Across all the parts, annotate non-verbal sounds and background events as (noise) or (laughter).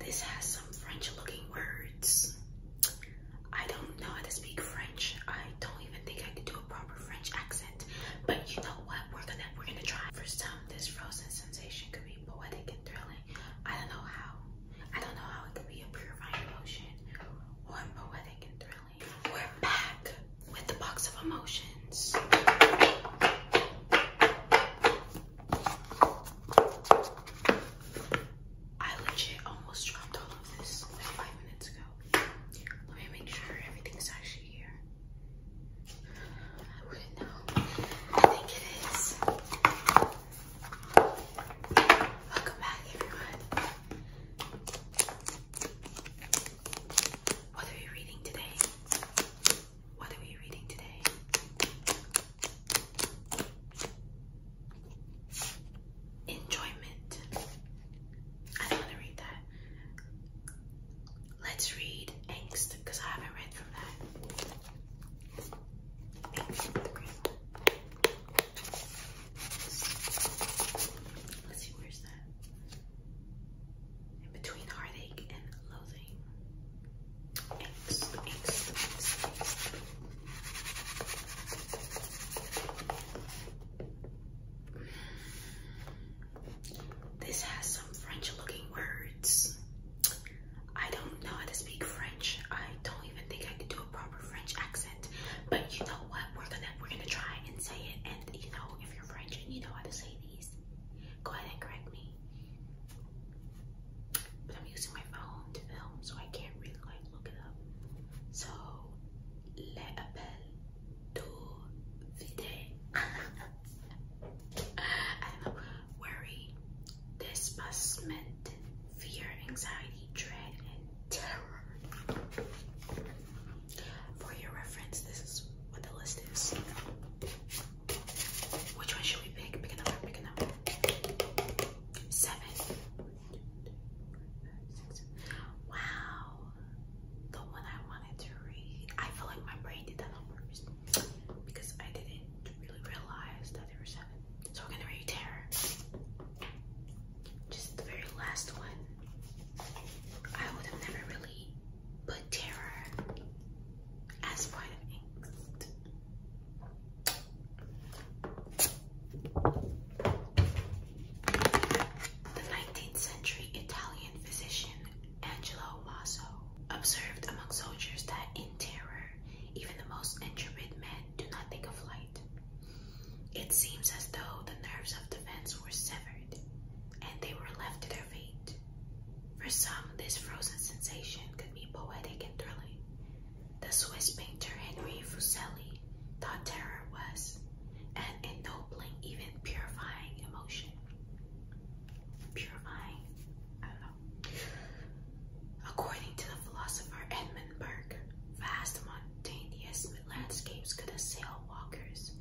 This has some French looking words. I don't know how to speak French. I don't even think I could do a proper French accent. But you know what? We're gonna try. For some, this frozen sensation could be poetic and thrilling. I don't know how. I don't know how it could be a purifying emotion or poetic and thrilling. We're back with the box of emotion. I legit almost dropped all of this five minutes ago. Let me make sure everything's actually here. I wouldn't know. I think it is. Welcome back, everyone. What are we reading today? What are we reading today? Enjoyment. I don't want to read that. Let's read Angst because I haven't read from that. Let's see, where's that? in between heartache and loathing. This has some French-looking words. I don't know how to speak French. I don't even think I could do a proper French accent. But you know what? We're gonna try and say it. And you know, if you're French and you know how to say it go ahead and correct me. But I'm using my phone to film, so I can't really like look it up. So le appel to vide. (laughs) I don't know. Worry, disbussment, fear, anxiety, dread, and terror. For your reference, this is what the list is. Which one should we pick? Pick another, pick another. Seven. Wow. The one I wanted to read. I feel like my brain did that on purpose because I didn't really realize that there were seven. So we're gonna read Terror. Just the very last one. I would have never really but terror as point of angst. The 19th century Italian physician Angelo Maso observed among soldiers that in terror, even the most intrepid men do not think of flight. It seems as though the nerves of defense were severed, and they were left to their fate. For some, this frozen sensation could be poetic and thrilling. The Swiss painter Henry Fuseli thought terror was an ennobling, even purifying emotion. Purifying? I don't know. According to the philosopher Edmund Burke, vast, spontaneous landscapes could assail walkers,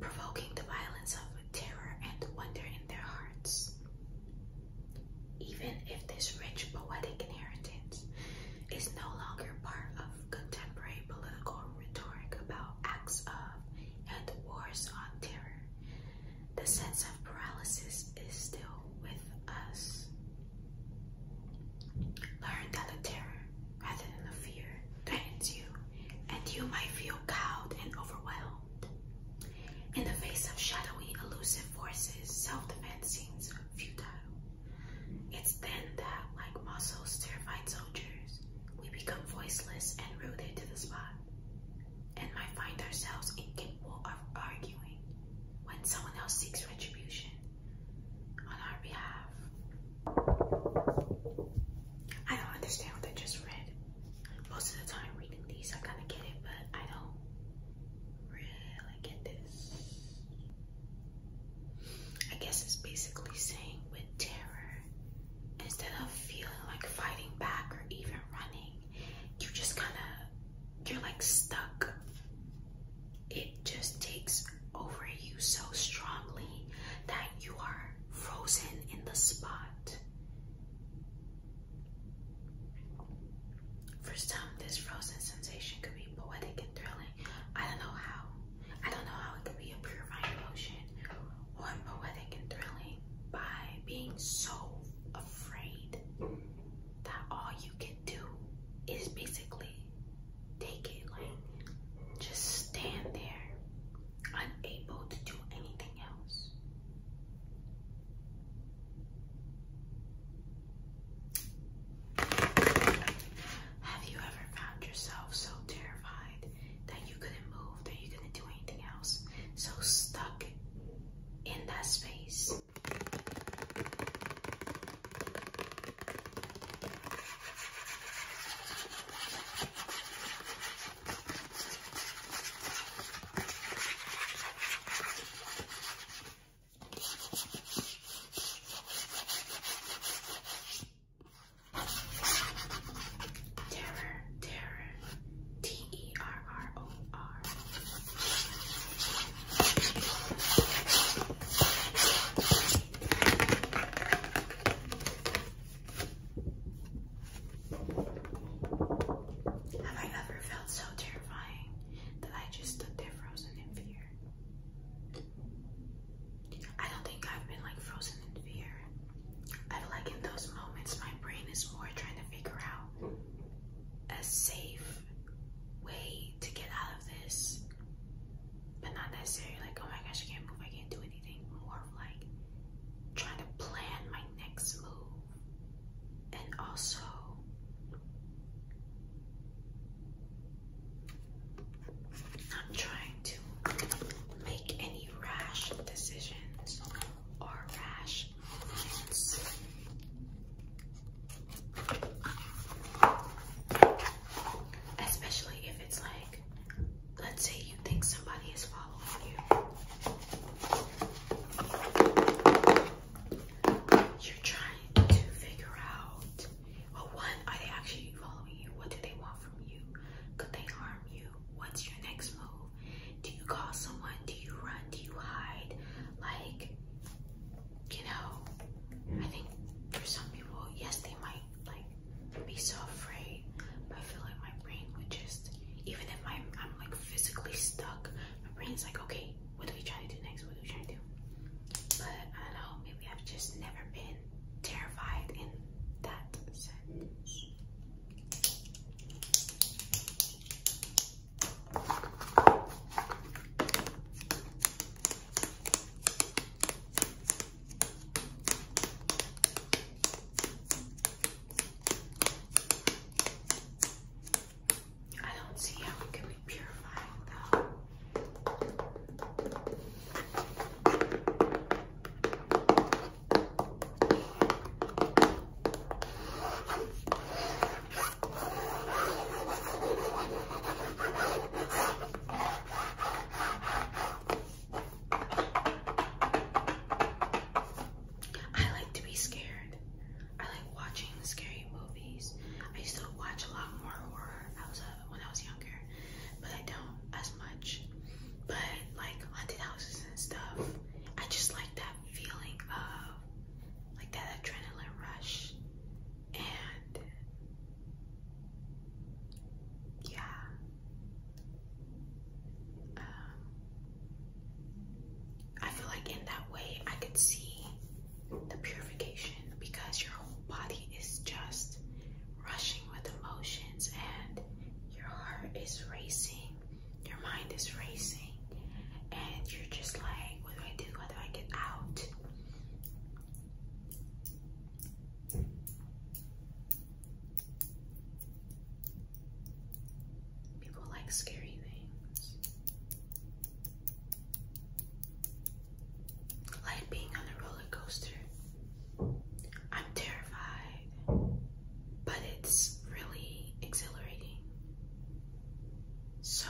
provoking the violence of terror and wonder in their hearts. Even if this rich poetic inheritance is no longer part of contemporary political rhetoric about acts of and wars on terror, the sense of paralysis is still with us. Learn that terror rather than the fear threatens you, and you might feel cowed and overwhelmed. In the face of shadowy, elusive forces, self-defense seems futile. It's then that, like Muscle's terrified soldiers, we become voiceless and rooted to the spot, and might find ourselves incapable of arguing when someone else seeks retribution on our behalf. I don't understand what I just read. Most of the time reading these, I kind of get it, but I don't really get this. I guess it's basically saying with terror, instead of feeling like fighting back or even running, you just kind of, you're like stuck. It just takes over you so strongly that you are frozen in the spot. For some, this frozen sensation could be poetic and thrilling. I don't know how. I don't know how it could be a purifying emotion or poetic and thrilling by being so afraid that all you can do is basically take it like just stand there unable to do anything else have you ever found yourself so terrified that you couldn't move that you couldn't do anything else so stuck in that space Terror, terror, T E R R O R. Have I ever felt so terrifying that I just stood there frozen in fear? I don't think I've been like frozen in fear. I feel like in those moments my brain is more trying to figure out a safe way to get out of this but not necessarily like, oh my gosh, I can't move, I can't do anything. More of like trying to plan my next move and also not trying to make any rash decisions or rash movements. Especially if it's like, let's say you think somebody is following you. You're trying to figure out, well, one, are they actually following you? What do they want from you? Could they harm you? What's your next move? Do you call someone? Do you run? Do you hide? Like, you know, I mm. think for some people, yes, they might like be so afraid, but I feel like my brain would just, even if my, I'm like physically stuck, my brain's like, okay, what do we try to do next? What do we try to do? But I don't know, maybe I've just never been terrified in that sense. I don't see how it can be purifying though. I like to be scared. I like watching scary movies. I used to watch a lot more horror I was, uh, when I was younger, but I don't as much. But like haunted houses and stuff, I just like that feeling of like that adrenaline rush. And yeah. Um, I feel like in that way I could see the purification because your whole body is just rushing with emotions and your heart is racing, your mind is racing, and you're just like, what do I do? How do I get out? People like scary things. Like being on a roller coaster. I'm terrified, but it's really exhilarating. So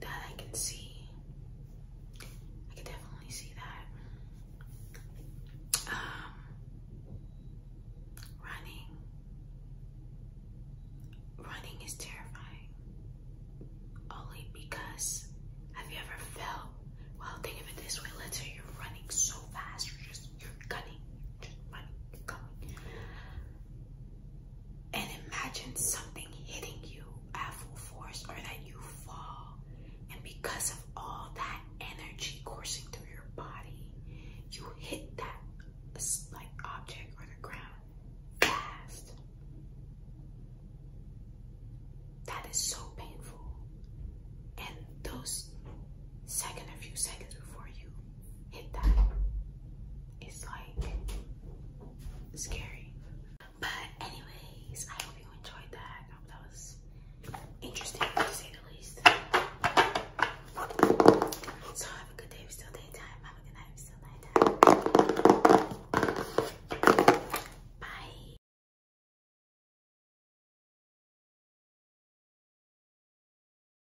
that I can see. I can definitely see that. Um, running. Running is terrifying. Only because have you ever felt? Well, think of it this way. let you're running so fast, you're just you're gunning, you're just running, you're coming and imagine something hitting you at full force or that you fall. And because of all that energy coursing through your body, you hit that like object or the ground fast. That is so painful. And those second a few seconds before you hit that. It's like scary. But anyways, I hope you enjoyed that. I hope that was interesting to say the least. So have a good day, it's still daytime. Have a good night, it's still nighttime. Bye.